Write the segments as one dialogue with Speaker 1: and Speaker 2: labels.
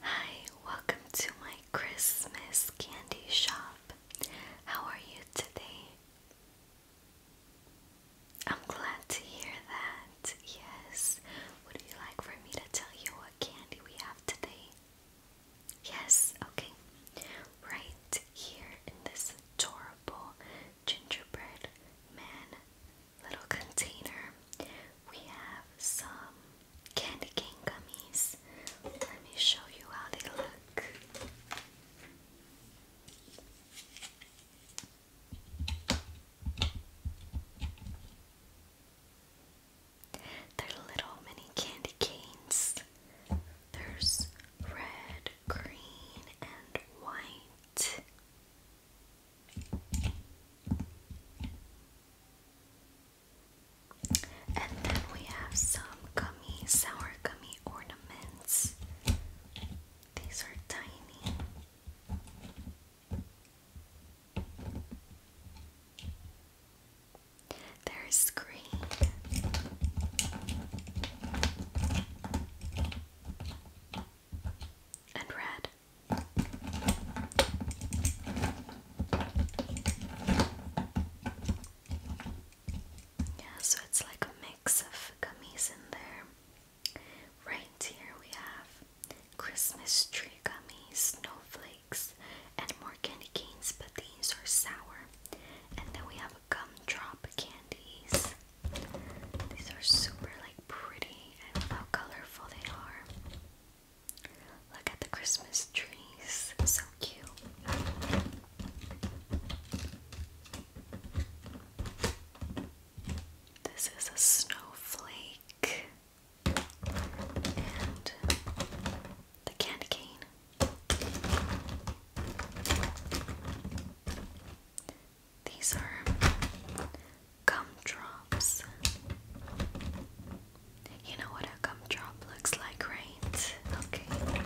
Speaker 1: Hi, welcome to my Christmas candy shop. How are you today? I'm glad to hear that. Yes. Would you like for me to tell you what candy we have today? Yes, okay. Right here in this adorable gingerbread man little container, we have some candy cane gummies. Let me show you how they look. They're little mini candy canes. There's red, green, and white. And then we have some gummy, sour gummy ornaments. These are tiny. There's green. And red. Yeah, so it's like a mix of gummies in there. Right here we have Christmas tree gummies, snowflakes, and more candy canes, but these are sour. And then we have gumdrop candies. These are super like pretty and how colorful they are. Look at the Christmas trees, so cute. This is a snowflake and the candy cane. These are gumdrops. You know what a gumdrop looks like, right? Okay.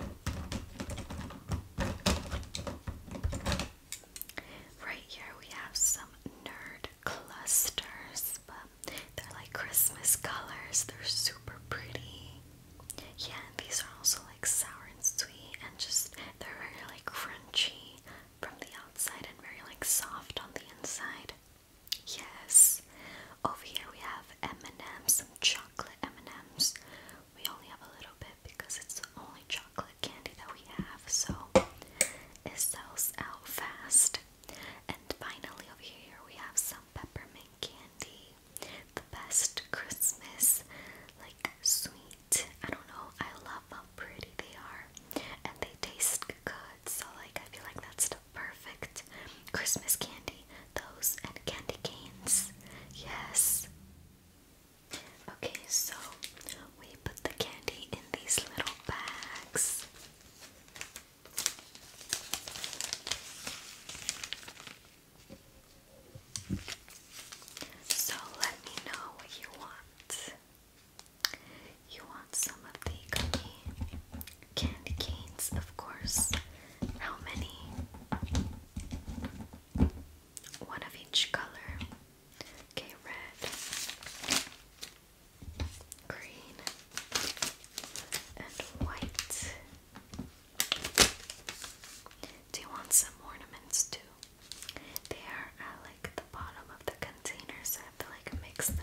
Speaker 1: Right here we have some nerd clusters, but they're like Christmas colors. They're super pretty. Yeah, and these are also like sour and sweet, and just they're really like crunchy from the outside and very like soft on the inside. Yes. Over here we have M&M's, some chocolate M&M's. We only have a little bit because it's the only chocolate candy that we have, so it sells out fast. And finally over here we have some peppermint candy. The best Christmas like sweet. I don't know. I love pretty they are, and they taste good. So like I feel like that's the perfect Christmas candy. Those and candy canes. Yes. Okay, so we put the candy in these little bags. So let me know what you want. You want some of the candy canes, of course. How many? One of each color. Okay, red, green, and white. Do you want some ornaments too? They are at like the bottom of the container, so I have to like mix them.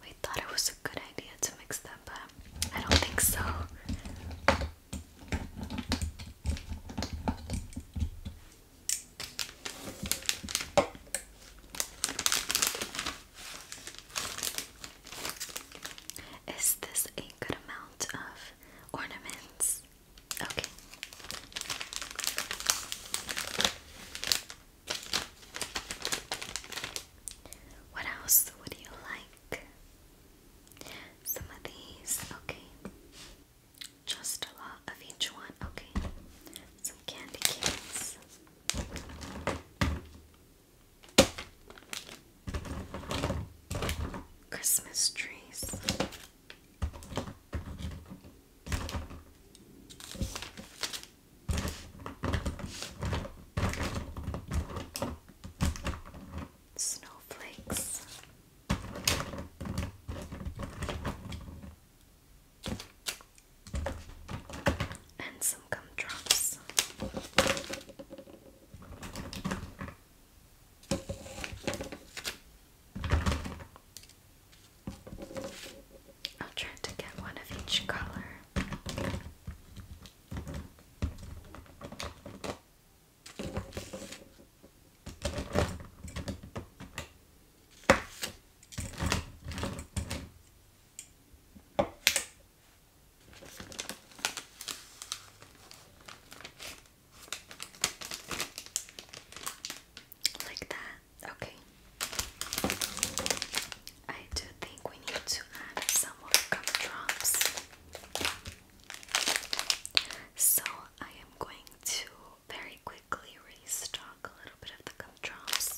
Speaker 1: We thought it was a good idea to mix them, but I don't think so. Is this a good amount of ornaments? Okay. What else would you like? Some of these, okay. Just a lot of each one, okay. Some candy canes. Christmas trees. Snowflakes. And some gumdrops. I'll try to get one of each color. Like that? Okay. I do think we need to add some more gumdrops. So I am going to very quickly restock a little bit of the gumdrops.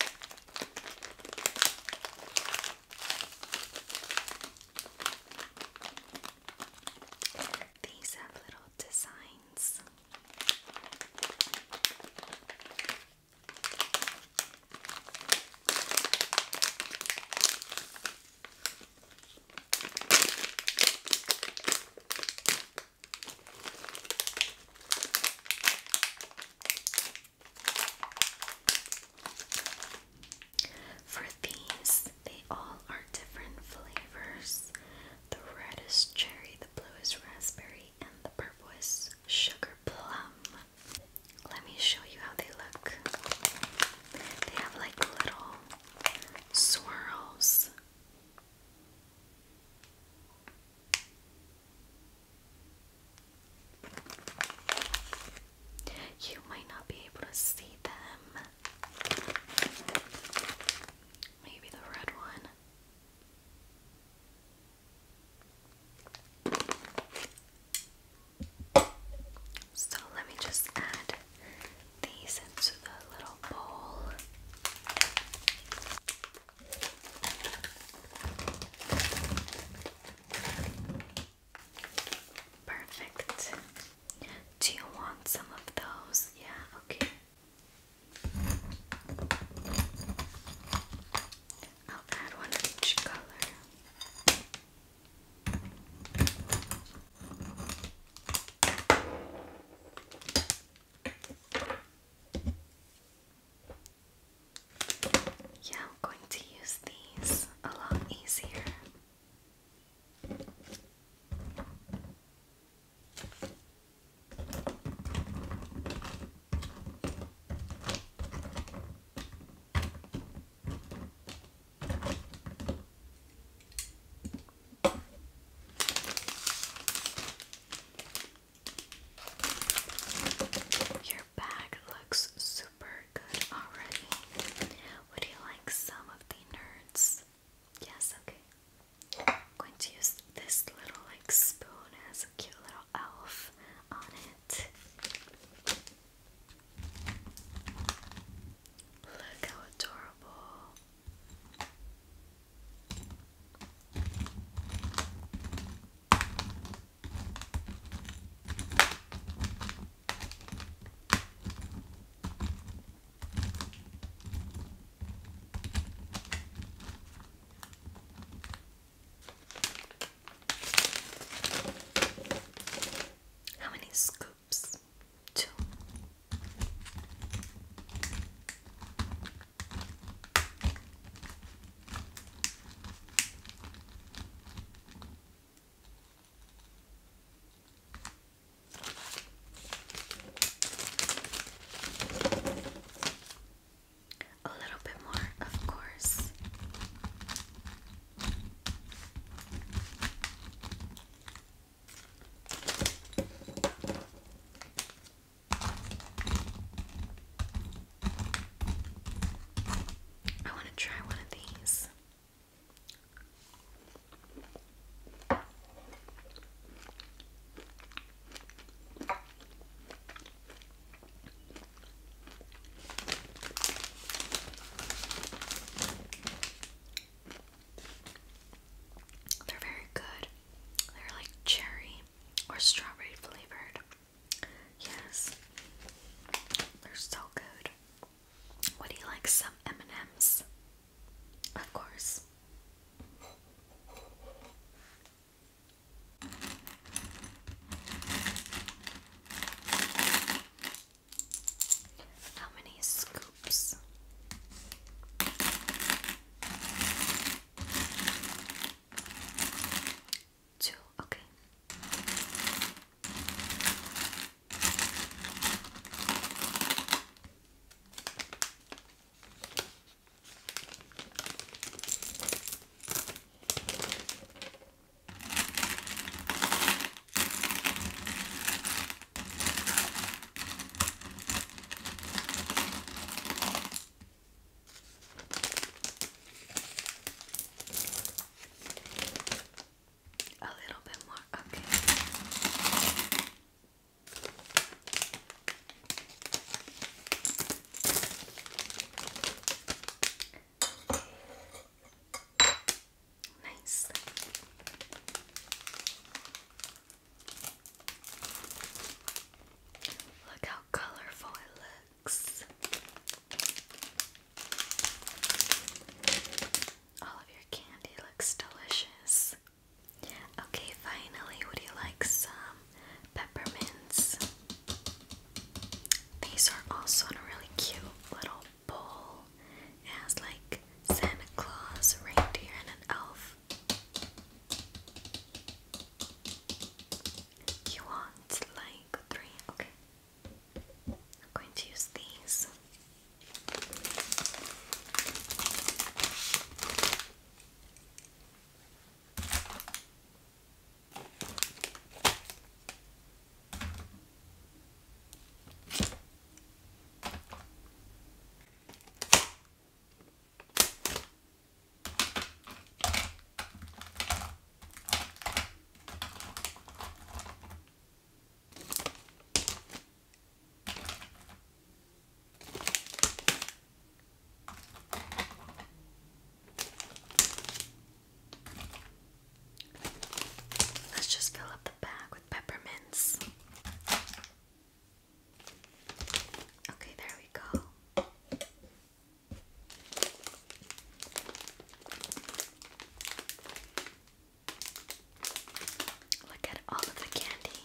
Speaker 1: These have little designs. For these, they all are different flavors. The red is cherry, the blue is raspberry, and the purple is sugar plum. Let me show you how they look. They have like little swirls. You might not be able to see them. Maybe the red one. So let me just add these into the little bowl. Perfect. Do you want some of those? Yeah, okay. I'll add one of each color. Yeah, I'm going to use these a lot easier. Your bag looks super good already. Would you like some of the nerds? Yes, okay. I'm going to use this little like spoon. It has a cute little elf on it. Look how adorable. How many scoops? Two. A little bit more, of course. I want to try one of these. They're very good. They're like cherry or strawberry flavored. Yes, they're so good. Would you like some M and M's? Of course. How many scoops? Two, okay. A little bit more. Okay. Nice. Look how colorful it all of your candy looks delicious. Okay, finally, would you like some peppermints? These are also in a really cute little bowl. It has like Santa Claus, reindeer, and an elf. You want like three? Okay. I'm going to use these. Let's just fill up the bag with peppermints. Okay, there we go. Look at all of the candy.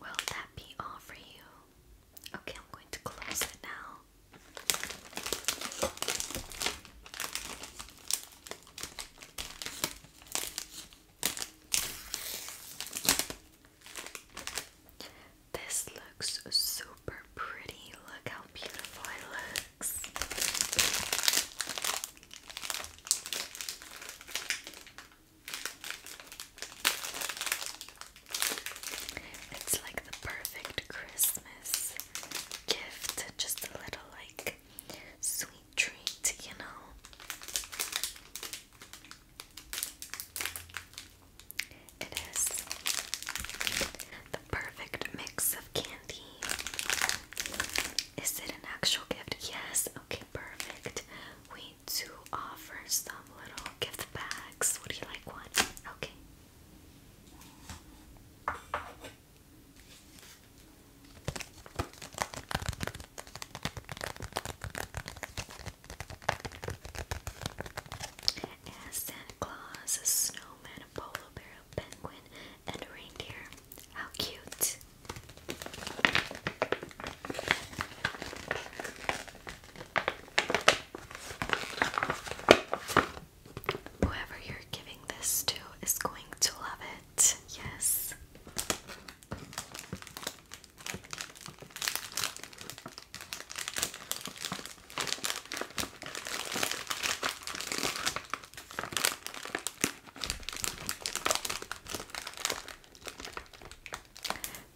Speaker 1: Will that be all for you? Okay, I'm going to close it now. This looks super pretty. Look how beautiful it looks. It's like the perfect Christmas gift. Just a little like sweet treat, you know. It is the perfect mix of candy. Is it an actual gift? Yes. Okay, perfect. We do offer some little gift bags. Would you like one? Okay. As Santa Claus, a snowman, a polar bear, a penguin, and a reindeer. How cute! Whoever you're giving this to is going to love it. Yes.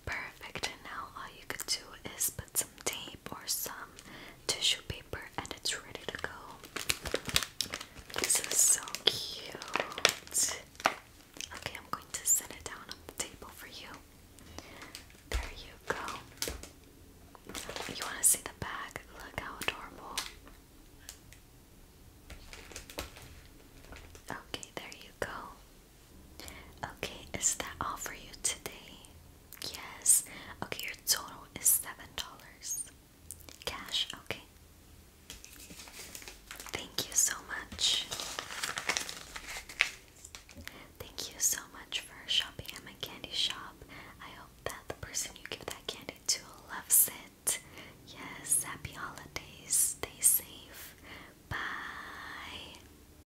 Speaker 1: Perfect, and now all you could do is put some tape or some tissue paper and it's ready to go. This is so cute. Okay, I'm going to set it down on the table for you. There you go. You want to see the bag? Look how adorable. Okay, there you go. Okay, is that all for you today? Yes. Okay, your total is seven dollars. Cash, okay. Thank you so much. Thank you so much for shopping at my candy shop. I hope that the person you give that candy to loves it. Yes, happy holidays. Stay safe. Bye.